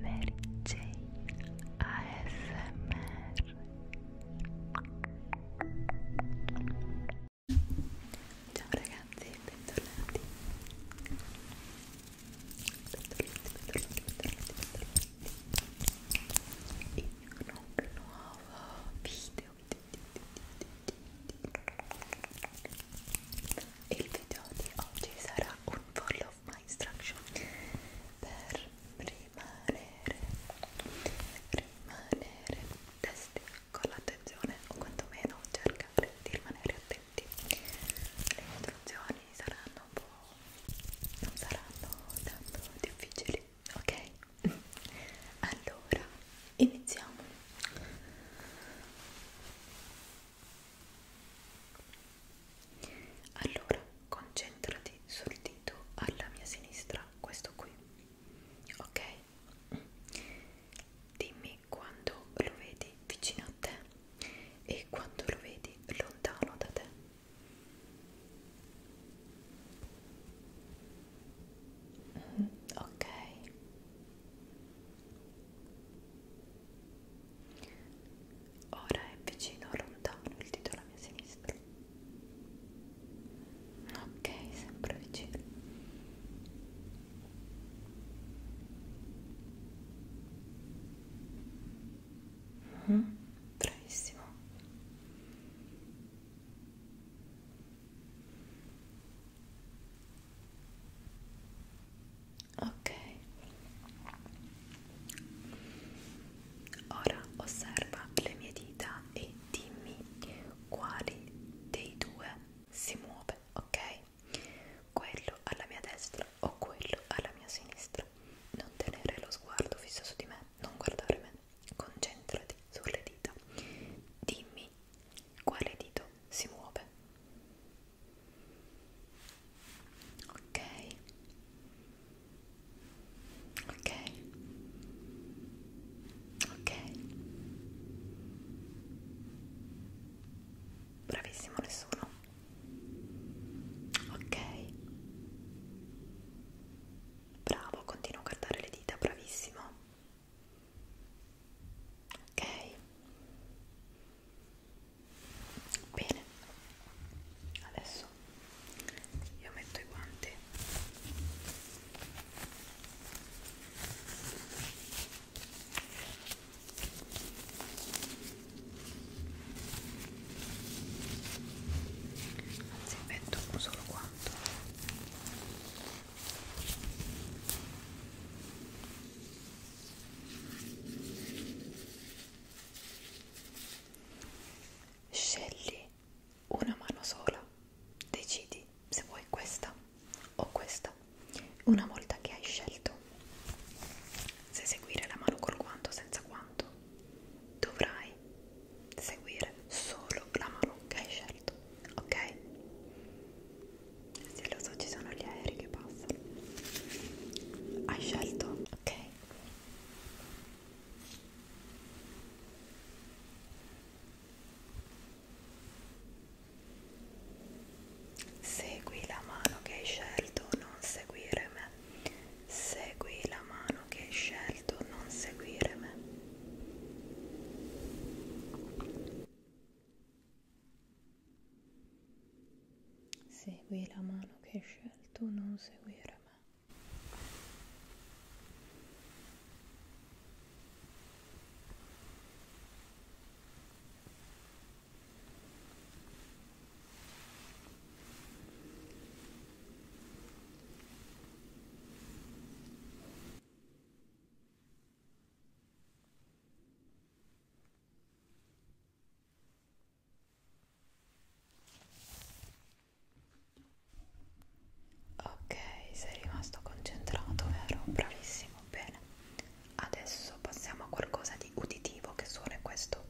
Mary Jane ASMR Ciao ragazzi, bentornati Bentornati, bentornati, bentornati, bentornati In un nuovo video e il video di oggi sarà un volo love my instruction per rimanere rimanere testi con l'attenzione o quantomeno cercare di rimanere attenti le istruzioni saranno un po' non saranno tanto difficili ok? allora iniziamo allora, concentrati sul dito alla mia sinistra, questo qui. Ok? Dimmi quando lo vedi vicino a te e quando lo vedi lontano da te. Ok. Ora è vicino o lontano il dito alla mia sinistra. Ok, sempre vicino. Mm -hmm, bravissimo. Ok. Ora osserva le mie dita e dimmi quali dei due si muove, ok? Quello alla mia destra o quello alla mia sinistra. Non tenere lo sguardo fisso su di me, non guardare me. Concentrati sulle dita. Dimmi quale dito si muove ok ok ok bravissimo nessuno ok bravo continuo a guardare le dita bravissimo ok bene adesso io metto i guanti anzi metto un solo guanto Scegli una mano sola, decidi se vuoi questa o questa, una volta che hai scelto se seguire la mano col guanto o senza guanto, dovrai seguire solo la mano che hai scelto, ok? Sì, lo so, ci sono gli aerei che passano. Hai scelto? Ok. Segui la mano che hai scelto, non seguire me. Segui la mano che hai scelto, non seguire me. Segui la mano che hai scelto, non seguire me. Ok, sei rimasto concentrato, vero? Bravissimo, bene. Adesso passiamo a qualcosa di uditivo che suona questo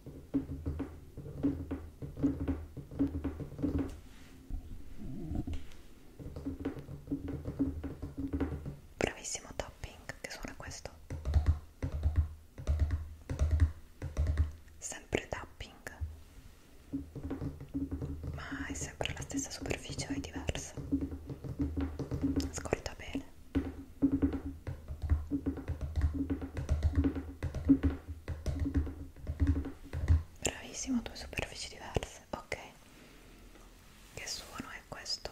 bravissimo topping che suona questo sempre tapping ma è sempre la stessa superficie o è diversa ascolta bene bravissimo due superfici diverse Yes, ok. Che suono è questo?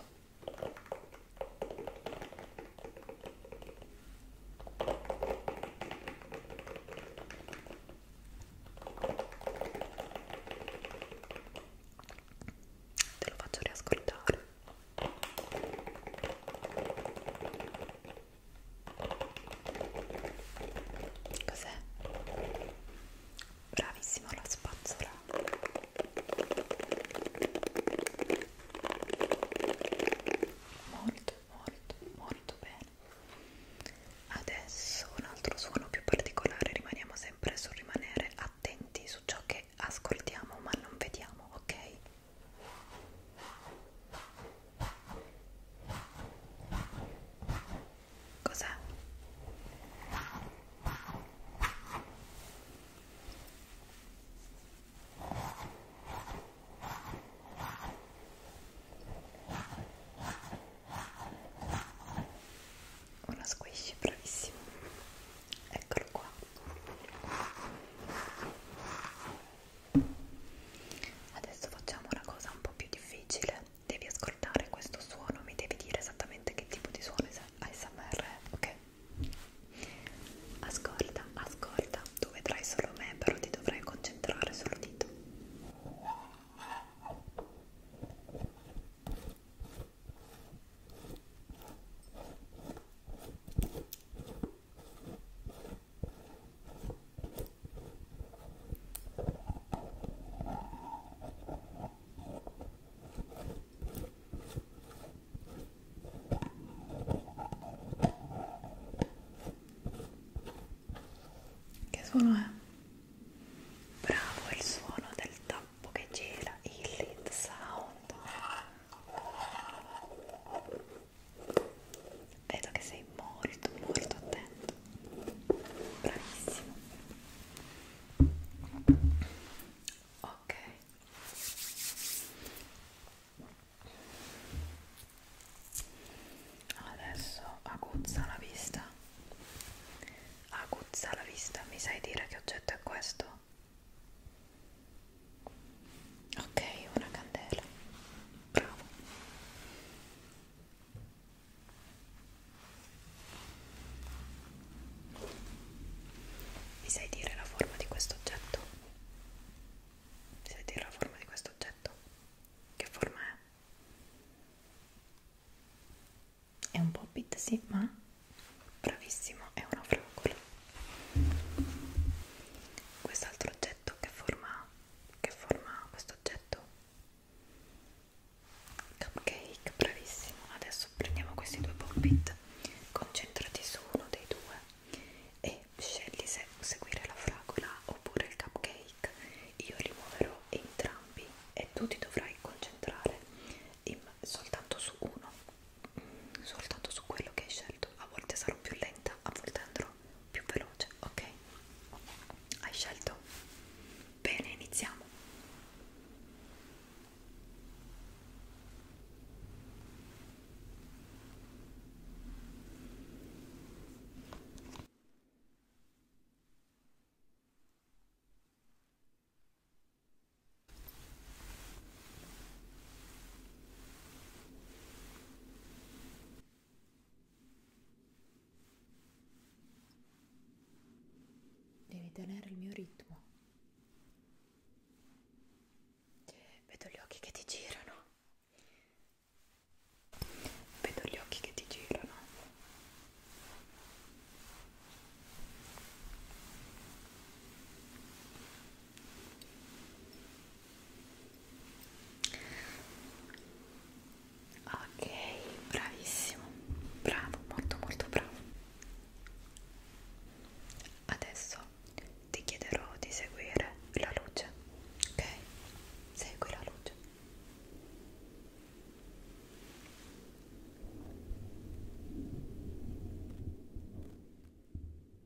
Te lo faccio riascoltare. Cos'è? Bravissimo la spazzola. Molto, molto, molto bene. Adesso un altro suono più particolare, rimaniamo sempre sul rimanere attenti su ciò che ascoltiamo ma non vediamo, ok? Cos'è? Una squishy, bravissimo. Eccolo qua. Adesso facciamo una cosa un po' più difficile. Devi ascoltare questo suono, mi devi dire esattamente che tipo di suono ASMR è, ok? Ascolta, ascolta, tu vedrai solo me, però ti dovrai concentrare sull'udito. Adesso che suono è? Bravo il suono del tappo che gira, il lead sound. Vedo che sei molto molto attento. Bravissimo. Ok. Adesso aguzza la vista. Aguzza la vista. Mi sai dire che oggetto è questo? Ok, una candela. Bravo. Mi sai dire la forma di questo oggetto? Mi sai dire la forma di questo oggetto? Che forma è? È un po' bit, sì, ma bravissimo, è una fragola. Quest'altro oggetto che forma ha? Che forma ha questo oggetto? Cupcake, bravissimo. Adesso prendiamo questi due pop-it, concentrati su uno dei due e scegli se seguire la fragola oppure il cupcake. Io li muoverò entrambi e tu ti dovrai concentrare in, soltanto su uno, soltanto su quello che hai scelto. A volte sarò più lenta, a volte andrò più veloce, ok? Hai scelto? Bene, iniziamo. Devi tenere il mio ritmo. Vedo gli occhi che ti girano. Vedo gli occhi che ti girano. Ok, bravissimo, bravo, molto molto bravo. Adesso ti chiederò di seguire la luce, ok? Segui la luce.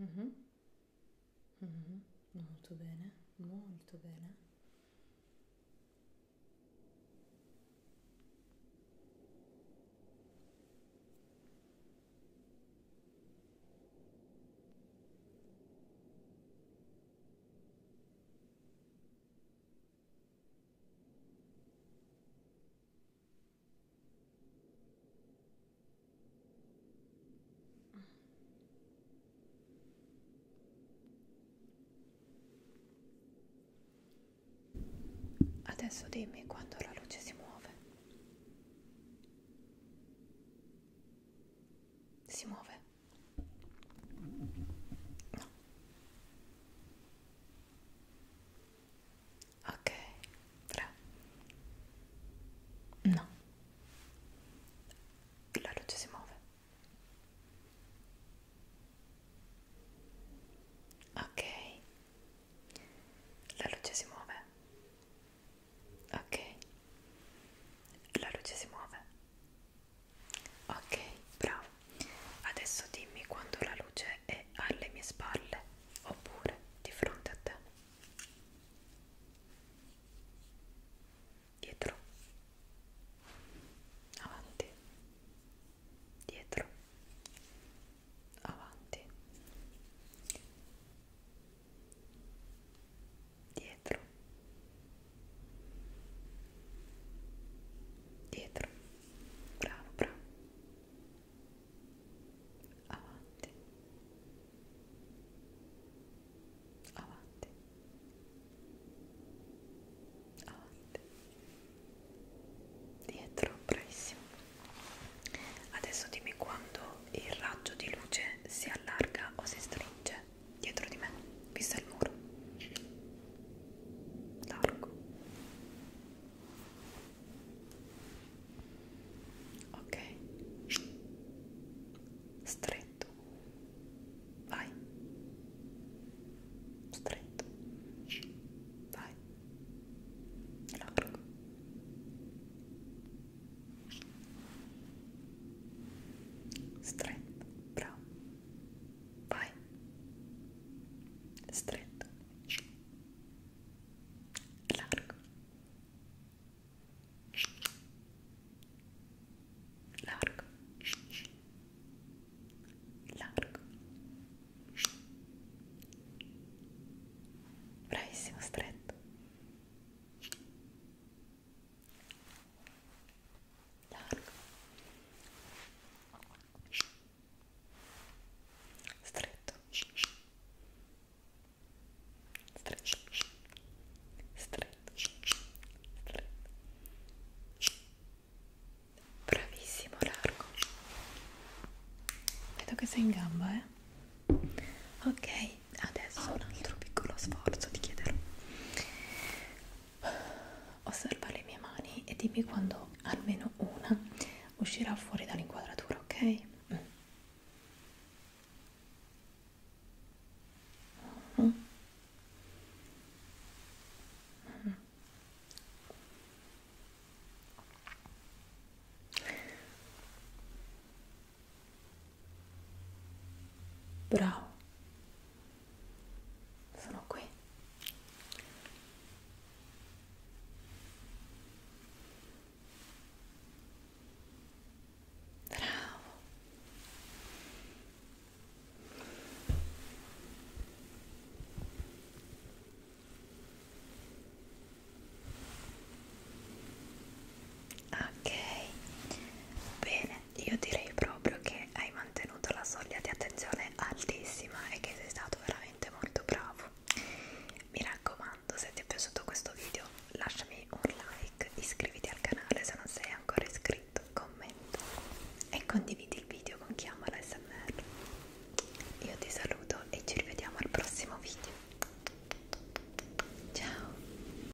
Mm-hmm. Mm-hmm. Molto bene, molto bene. Adesso dimmi quando la luce si muove. Si muove? No. Ok, bravo. No. La luce si muove. Ok. La luce si muove. Ok. La luce si muove ok bravo adesso dimmi quando la luce è alle mie spalle oppure di fronte a te dietro avanti dietro avanti dietro dietro bravo bravo avanti avanti avanti dietro bravissimo adesso dimmi quando il raggio di luce si allarga o si stringe dietro di me, vista il muro largo ok stretto vai stretto vai largo stretto bravo Vai. Stretto. Largo. Largo. Largo. Bravissimo, stretto. largo stretto stretto stretto stretto bravissimo largo vedo che sei in gamba eh ok adesso un altro piccolo sforzo ti chiederò osserva le mie mani e dimmi quando almeno una uscirà fuori dall'inquadratura, ok? Mm. Mm. Mm. Bravo. Sono qui. Bravo ok bene io direi proprio che hai mantenuto la soglia di attenzione altissima e che sei stato veramente molto bravo mi raccomando se ti è piaciuto questo video lasciami un like iscriviti al canale se non sei ancora iscritto commenta e condividi il video con chi ama l'SMR io ti saluto e ci rivediamo al prossimo video ciao